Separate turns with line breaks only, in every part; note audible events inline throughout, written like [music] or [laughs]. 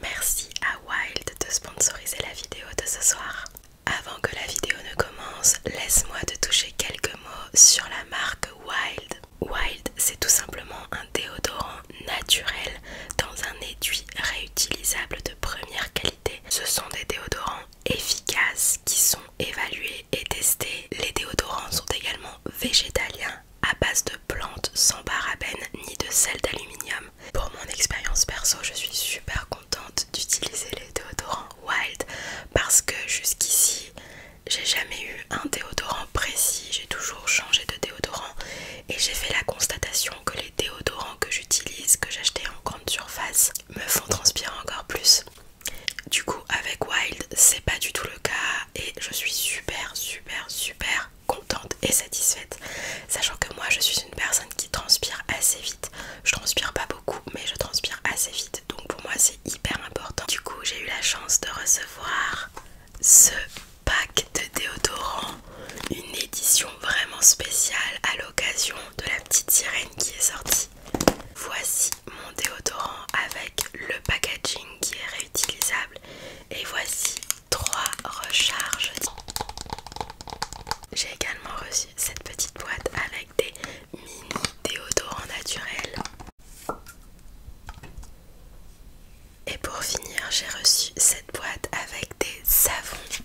Merci à Wild de sponsoriser la vidéo de ce soir. Avant que la vidéo ne commence, laisse-moi te toucher quelques mots sur la marque Wild. Wild, c'est tout simplement un déodorant naturel dans un étui réutilisable de première qualité. Ce sont des déodorants efficaces qui sont évalués et testés. Les déodorants sont également végétaliens à base de plantes sans parabènes ni de sel d'aluminium. Pour mon expérience perso, je suis super contente d'utiliser les déodorants Wild parce que jusqu'ici, j'ai jamais eu un déodorant précis, j'ai toujours changé de déodorant et j'ai fait la constatation que les déodorants que j'utilise, que j'achetais en grande surface, me font transpirer encore plus. Du coup, avec Wild, c'est pas du tout le cas et je suis super, super, super contente et satisfaite, sachant que moi je suis une personne qui transpire assez vite. Je transpire pas beaucoup, mais je transpire assez vite, donc pour moi c'est hyper important. Du coup, j'ai eu la chance de recevoir ce pack de déodorant, une édition vraiment spéciale à l'occasion de la petite sirène qui est sortie. Voici mon déodorant avec le packaging qui est réutilisable et voici 3 recharges. J'ai également reçu cette petite boîte avec des mini déodorants naturels. Et pour finir, j'ai reçu cette boîte avec des savons.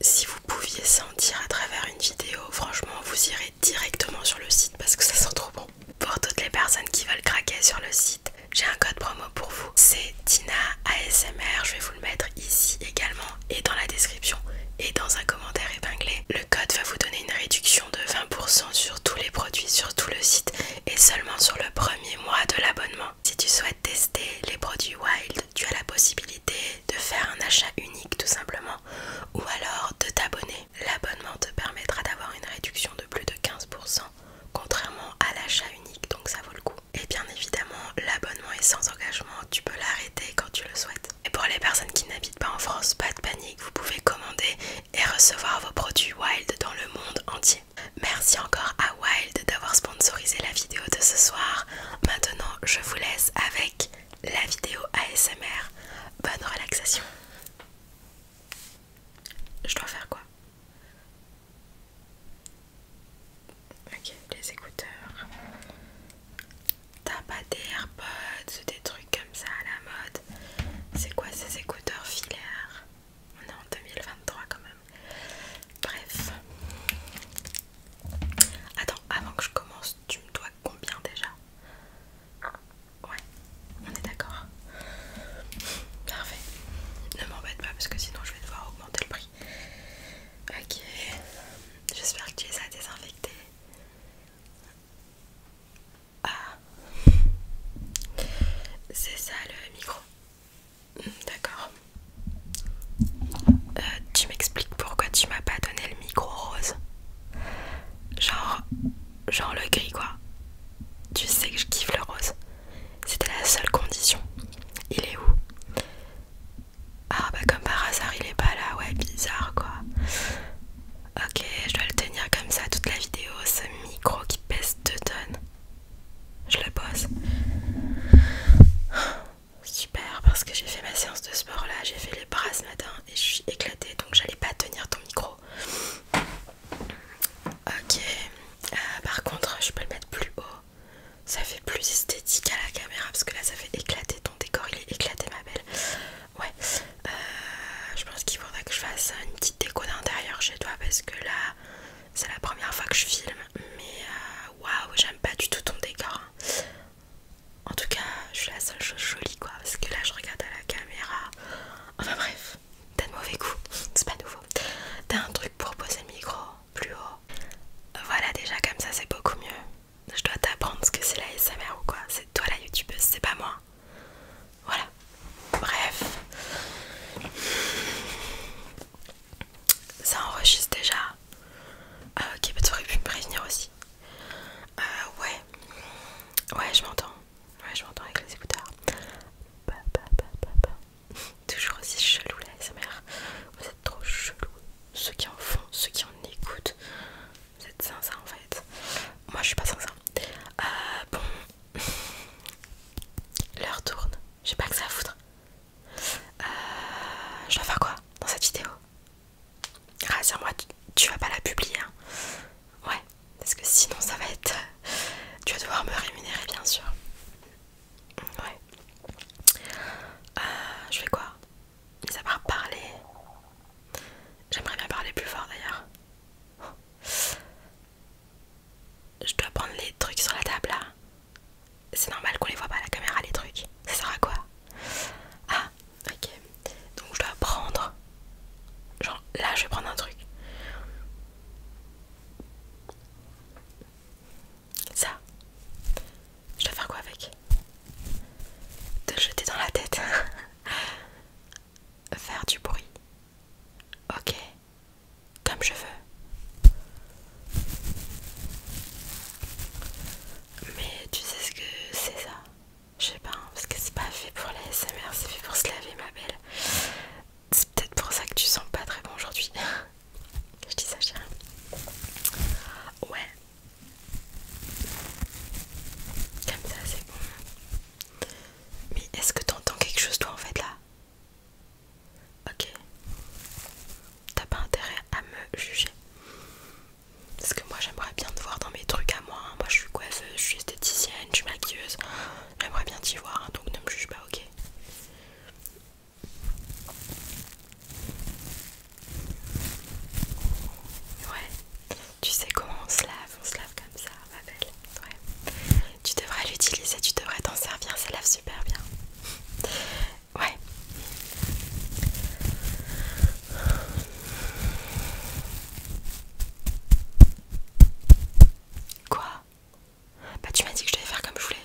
Si vous pouviez sentir à travers une vidéo, franchement, vous irez directement sur le site parce que ça sent trop bon. Pour toutes les personnes qui veulent craquer sur le site, j'ai un code promo pour vous. C'est Tina ASMR. Je vais vous le mettre ici également et dans la description et dans un commentaire épinglé. Le code va vous donner une réduction de 20% sur tous les produits sur tout le site et seulement sur le premier mois de l'abonnement. Si tu souhaites tester les produits Wild, tu as la possibilité de faire un achat unique tout simplement ou alors de t'abonner L'abonnement te permettra d'avoir une réduction de plus de 15%, contrairement à l'achat unique, donc ça vaut le coup. Et bien évidemment, l'abonnement est sans engagement, tu peux l'arrêter quand tu le souhaites. Et pour les personnes qui n'habitent pas en France, pas de panique, vous pouvez commander et recevoir vos produits Wild dans le monde entier. Merci encore à Wild d'avoir sponsorisé la vidéo de ce soir. Maintenant, je vous laisse avec la vidéo ASMR. Bonne relaxation. Je dois faire quoi Ok, les écouteurs. T'as pas des AirPods, des trucs comme ça à la mode. C'est quoi ces écouteurs filaires On est en 2023 quand même. Bref. Attends, avant que je commence, tu me dois combien déjà Ouais, on est d'accord. Parfait. Ne m'embête pas parce que sinon je vais devoir augmenter le prix. Ok. J'espère que tu es à désinfecter. Ah. C'est ça le micro. Hmm, d'accord. Euh, tu m'expliques pourquoi tu m'as pas donné le micro rose. Genre, genre le gris quoi. Tu sais que je kiffe le rose. C'était la seule condition. Il est où Ah bah comme par hasard il est pas là, ouais bizarre quoi. Ok, je dois le tenir comme ça toute la vidéo, ce micro qui pèse deux tonnes. Je le pose. Super parce que j'ai fait ma séance de sport là, j'ai fait les bras ce matin et je suis éclatée donc j'allais pas tenir micro. Ok, euh, par contre, je peux le mettre plus haut. Ça fait plus esthétique à la caméra parce que là ça fait éclater ton décor, il est éclaté ma belle. Ouais, euh, je pense qu'il faudrait que je fasse une petite déco d'intérieur chez toi parce que là c'est la première fois que je filme. Mais euh, waouh, j'aime pas du tout ton décor. Hein. En tout cas, je suis la seule chose jolie quoi, parce que là je regarde à la caméra. Enfin bref, t'as de mauvais goût, [laughs] c'est pas nouveau. T'as un truc pour poser le micro plus haut. Voilà, déjà comme ça c'est beaucoup mieux. Je dois t'apprendre ce que c'est la SMR ou quoi. C'est toi la youtubeuse, c'est pas moi. Voilà, bref. Ça enregistre déjà. Ah ok, bah, tu aurais pu me prévenir aussi. Ah ouais. Ouais, je m'entends. Ouais, je m'entends avec les écouteurs. Bah, bah, bah, [laughs] Toujours aussi chelou là, sa Vous êtes trop chelou. Ceux qui en font, ceux qui en écoutent. Vous êtes sincères en fait. Moi, je suis pas sincère. Euh, bon. [laughs] L'heure tourne. J'ai pas que ça à foutre. Euh, je dois faire quoi dans cette vidéo Rassure-moi, tu, vas pas la publier. Hein. Ouais, parce que sinon ça va être... Tu euh, vas devoir me rémunérer bien sûr. Ouais. Euh, je fais quoi il à parler... J'aimerais bien parler plus fort d'ailleurs. Je dois prendre les trucs sur la table là. C'est normal qu'on les voit pas à la caméra les trucs. Ça sert à quoi Ah, Ok, donc je dois prendre. Genre là, je vais prendre un truc. Ça. Je dois faire quoi avec Te jeter dans la tête. [laughs] faire du bruit. Ok, comme je veux. Mais tu sais ce que c'est ça je sais pas, hein, parce que c'est pas fait pour les SMR, c'est fait pour se laver, ma belle. C'est peut-être pour ça que tu sens pas très bon aujourd'hui. [laughs] je dis ça, chérie. Ouais. Comme ça, c'est bon. Mais est-ce que t'entends quelque chose, toi, en fait, là Ok. T'as pas intérêt à me juger. Parce que moi j'aimerais bien te voir dans mes trucs à moi. Hein. Moi je suis coiffeuse, je suis esthéticienne, je suis maquilleuse. J'aimerais bien t'y voir, hein, donc ne me juge pas, ok Ouais, tu sais comment on se lave, on se lave comme ça, ma belle. Ouais. Tu devrais l'utiliser, tu devrais t'en servir, ça lave super bien. ouais. Quoi Bah tu m'as dit que je devais faire comme je voulais.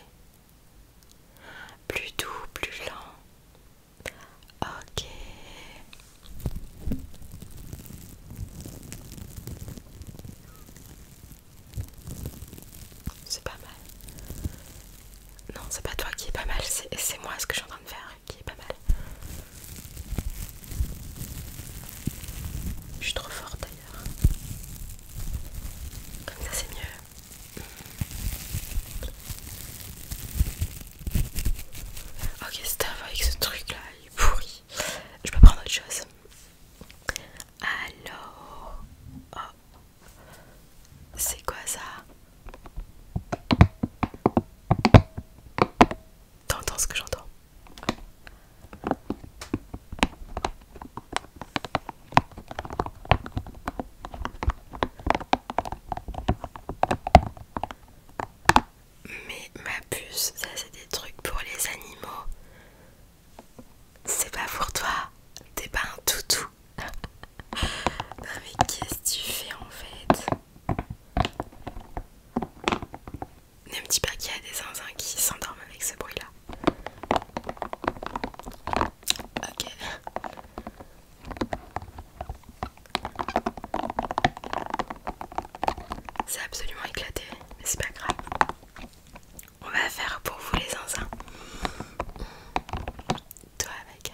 Plus doux, plus lent. Ok. C'est pas mal. Non, c'est pas toi qui est pas mal, c'est moi ce que je suis en train de faire qui est pas mal. Je suis trop forte d'ailleurs. Comme ça c'est mieux. Ok c'est stop avec ce truc là, il est pourri. Je peux prendre autre chose. Alors... Oh, c'est quoi ça T'entends ce que j'entends Mais ma puce, ça c'est des trucs pour les animaux. C'est pas pour toi, t'es pas un toutou. [laughs] mais qu'est-ce que tu fais en fait Ne me dis pas qu'il y a des zinzins qui s'endorment avec ce bruit là. Ok. C'est absolument éclaté, mais c'est pas grave. On va faire pour vous les zinzins toi avec.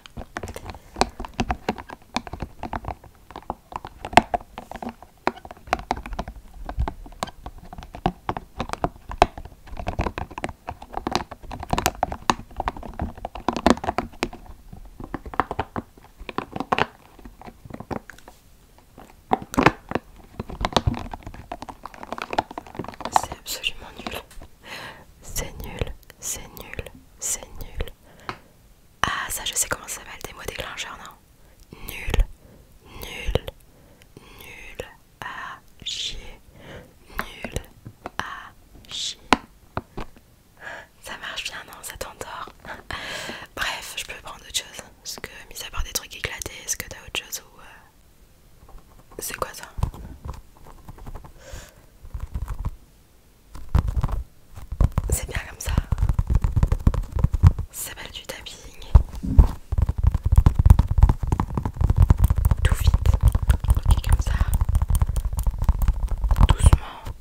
C'est absolument nul. C'est nul, c'est nul, c'est nul. Ah, ça, je sais comment ça s'appelle, des mots déclencheurs, non Nul, nul, nul, à chier, nul, à chier. Ça marche bien, non Ça t'endort [laughs] Bref, je peux prendre autre chose. Parce que, mis à part des trucs éclatés, est-ce que t'as autre chose ou. Euh, c'est quoi ça c'est bien comme ça. C'est mal du tapping. Tout vite. Ok, comme ça. Doucement.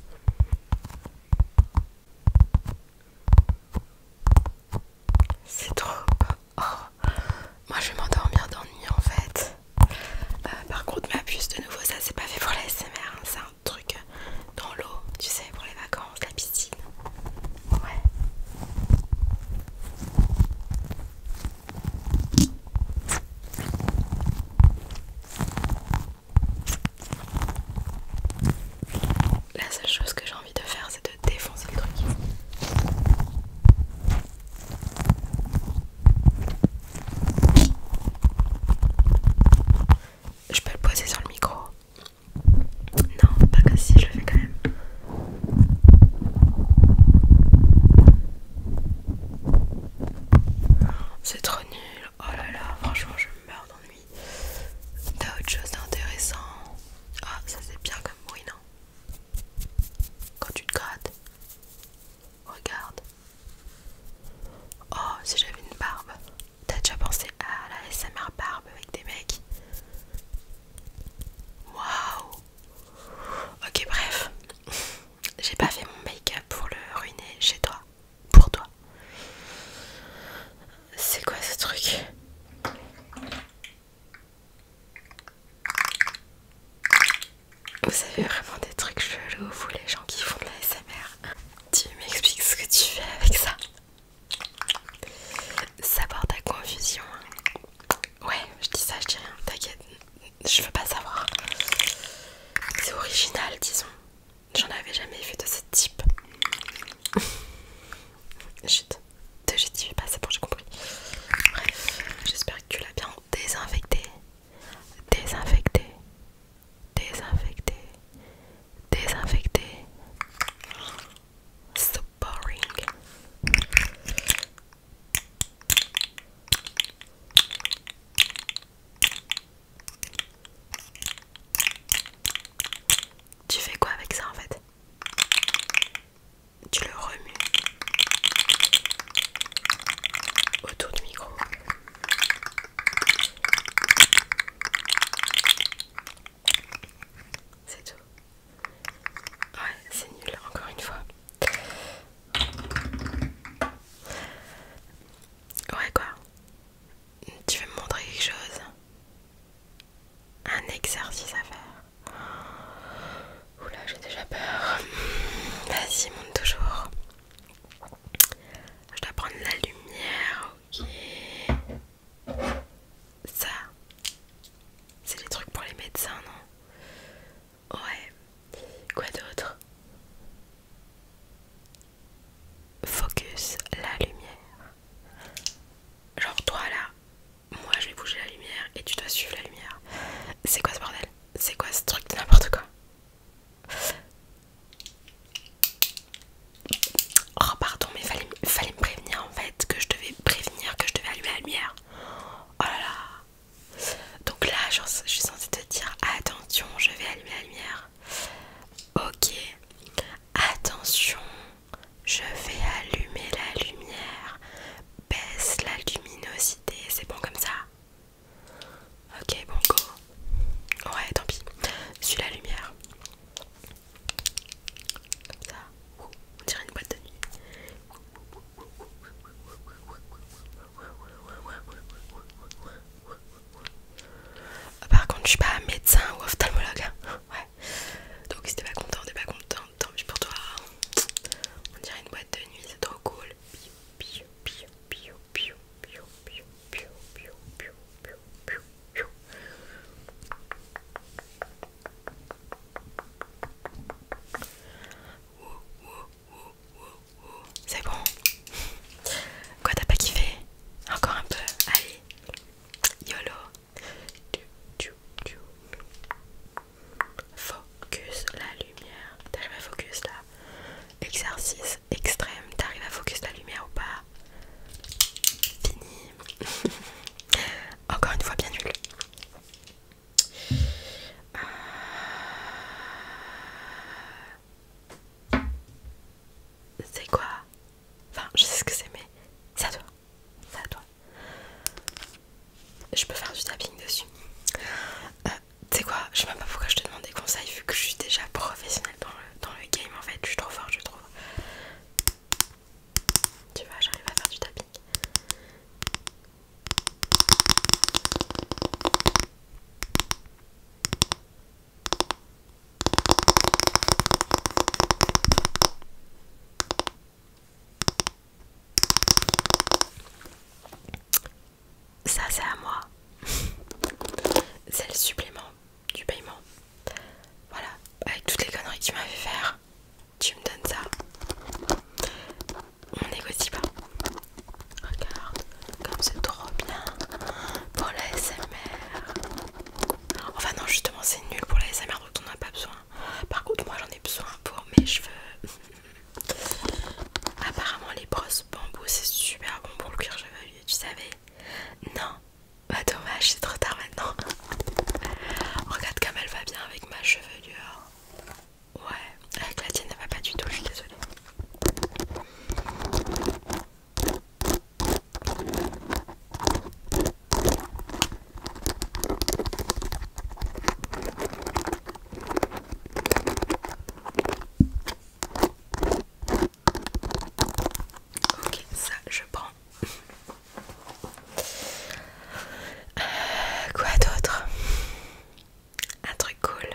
C'est trop. Oh. Moi je vais m'endormir d'ennui en fait. Euh, par contre, ma puce de nouveau, ça c'est pas fait pour la SMR, hein. c'est un truc euh, dans l'eau, tu sais, pour les vacances, la piscine. Ouais. La seule chose que j'ai envie de faire, c'est de défoncer le truc. Je peux le poser sur le micro Non, pas que si, je le fais quand même. C'est trop nul. Oh là là, franchement, je meurs d'ennui. T'as autre chose d'intéressant Ah, ça c'est bien comme bruit, non Quand tu te grattes Regarde. Oh, si j'avais une barbe. T'as déjà pensé à la SMR barbe avec des mecs Waouh Ok, bref. J'ai pas fait mon make-up pour le ruiner chez toi. Pour toi. C'est quoi ce truc vous savez vraiment des trucs chelous, vous les gens qui font de la SMR. Tu m'expliques ce que tu fais avec ça savoir ta confusion. Hein. Ouais, je dis ça, je dis rien, t'inquiète, je veux pas savoir. C'est original, disons. J'en avais jamais vu de ce type. [laughs] Chut, te pas, c'est bon, j'ai compris. Bref, j'espère que tu l'as bien désinfecter, désinfecté, désinfecté, désinfecté, So boring. Tu fais quoi avec ça en fait tu le remues autour du micro. C'est tout. Ouais, c'est nul, encore une fois. Ouais, quoi Tu veux me montrer quelque chose Un exercice à faire Oula, j'ai déjà peur. Vas-y, monte toujours. Je dois prendre la lumière, ok. Ça, c'est des trucs pour les médecins, non Ouais. Quoi d'autre Focus la lumière. Genre toi là, moi je vais bouger la lumière et tu dois suivre la lumière. C'est quoi ce bordel c'est quoi ce truc de N'importe quoi. Oh pardon, mais fallait, fallait me prévenir en fait que je devais prévenir que je devais allumer la lumière. Oh là là. Donc là, je, je suis censée te dire attention, je vais allumer la lumière. Ok. Attention, je vais allumer la lumière. Baisse la luminosité c'est bon comme ça. Ok, bon, go. Ouais, tant pis. Suis la lumière. Comme ça. On dirait une boîte de nuit. Par contre, je suis pas médecin ou ophtalmologue. Hein. Donc, si t'es pas content, t'es pas content tant mieux pour toi. On dirait une boîte de nuit, c'est trop cool. Piu, piu, piu, piu, piu, C'est bon. Quoi, t'as pas kiffé Encore un peu. Allez. YOLO. Focus la lumière. T'arrives à focus là. Exercice extrême. T'arrives à focus la lumière ou pas Fini. [laughs] Encore une fois, bien nul. Euh, c'est quoi Enfin, je sais ce que c'est, mais c'est à toi. C'est à toi. Je peux faire du tapping dessus. Euh, tu sais quoi, je sais même pas pourquoi je te demande des conseils vu que je suis déjà professionnelle dans le, dans le game en fait. Je suis trop forte, je trouve. Tu vois, j'arrive à faire du tapping. Ça c'est à moi. [laughs] c'est le supplément du paiement. Voilà, avec toutes les conneries que tu m'avais faire, tu me donnes ça. On négocie pas. Regarde, comme c'est trop bien pour la Enfin non, justement c'est nul pour la SMR donc on n'a pas besoin. Par contre, moi j'en ai besoin pour mes cheveux. Apparemment, les brosses bambou c'est super bon pour le cuir chevelu. Tu savais Non Bah, dommage, c'est trop tard maintenant. Regarde comme elle va bien avec ma chevelure. Ouais, avec la tienne, elle va pas du tout, je suis désolée. Ok, ça je prends. Euh, quoi d'autre Un truc cool.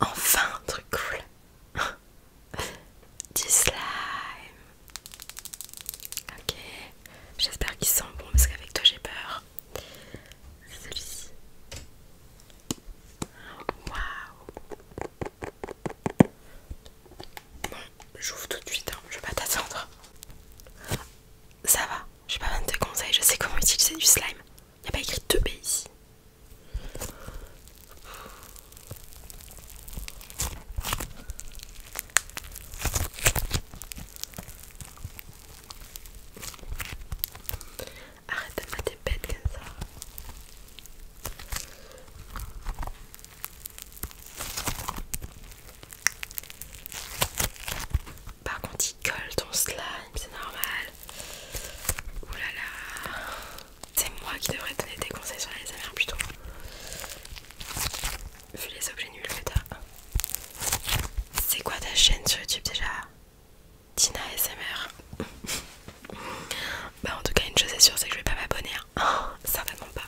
enfin un truc cool. [laughs] du slime. Ok, j'espère qu'il sent bon parce qu'avec toi j'ai peur. Celui-ci. Waouh! Bon, j'ouvre tout de suite, hein. je vais pas t'attendre. Ça va, j'ai pas besoin de conseils, je sais comment utiliser du slime. a pas écrit 2B ici. Arrête de mettre des bêtes comme ça. Par contre, il colle ton slime, c'est normal. Ouh là là. C'est moi qui devrais donner des conseils sur les amères plutôt vu les objets nuls que t'as. C'est quoi ta chaîne sur YouTube déjà Tina SMR. [laughs] bah en tout cas une chose est sûre c'est que je vais pas m'abonner. Hein. Oh, certainement pas.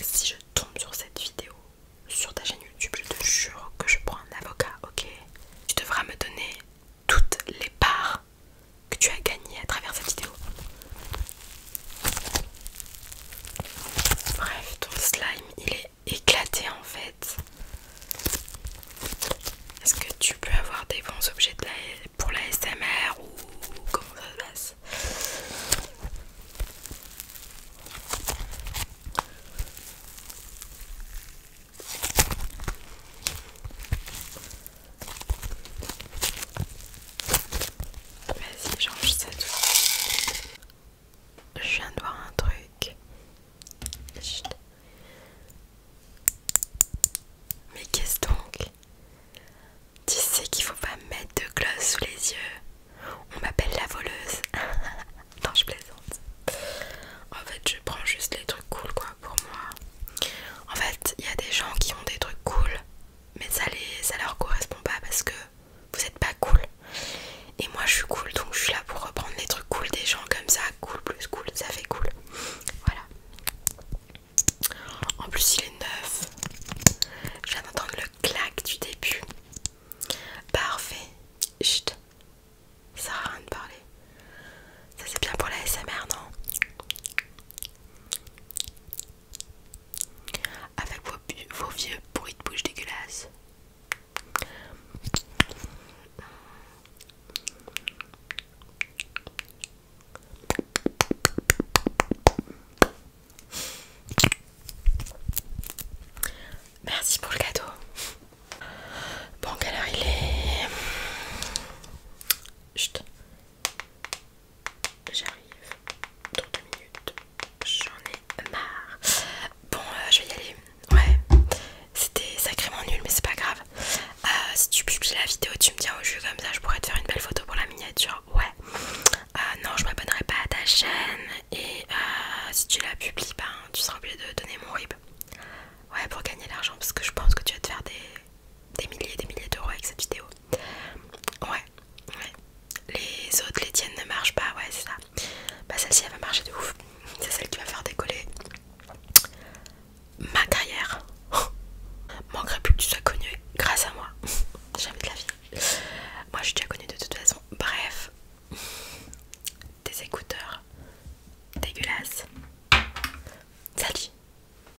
Si je tombe sur cette vidéo, sur ta chaîne YouTube, je te jure que je prends un avocat, ok Tu devras me donner toutes les parts que tu as gagné à travers cette vidéo. Bref, ton slime il est éclaté en fait. Est-ce que tu peux avoir des bons objets pour la SMR ou comment ça se passe Vas-y, change ça tout. Je viens de voir un truc. Mais qu'est-ce donc Tu sais qu'il faut pas mettre de gloss sous les yeux. On m'appelle la voleuse. [laughs] non, je plaisante. En fait, je prends juste les trucs cool quoi pour moi. En fait, il y a des gens qui ont des trucs cool mais ça, les, ça leur correspond pas parce que vous êtes pas cool. Et moi je suis cool donc je suis là pour reprendre les trucs cool des gens comme ça, cool plus cool, ça fait cool. Voilà. En plus il est neuf. Je viens d'entendre le clac du début. Parfait. Chut. Ça sert à rien de parler. Ça c'est bien pour la SMR non avec vos, vieux bruits de bouche dégueulasses. Merci pour le cadeau. Bon, alors il est. Chut. J'arrive dans deux minutes. J'en ai marre. Bon, euh, je vais y aller. Ouais, c'était sacrément nul, mais c'est pas grave. Euh, si tu publies la vidéo, tu me tiens au jus comme ça, je pourrais te faire une belle photo pour la miniature. Ouais. Euh, non, je m'abonnerai pas à ta chaîne. Et si tu la publies, ben, tu seras obligé de donner mon rib. Ouais, pour gagner de l'argent, parce que je pense que tu vas te faire des des milliers et des milliers d'euros avec cette vidéo. Ouais, Les autres, les tiennes ne marchent pas, ouais, c'est ça. Bah, celle-ci, elle va marcher de ouf. [laughs] C'est celle qui va faire décoller ma carrière. [laughs] Manquerait plus que tu sois connue grâce à moi. [laughs] Jamais de la vie. Moi, je suis déjà connue de toute façon. Bref, des écouteurs dégueulasses. Salut!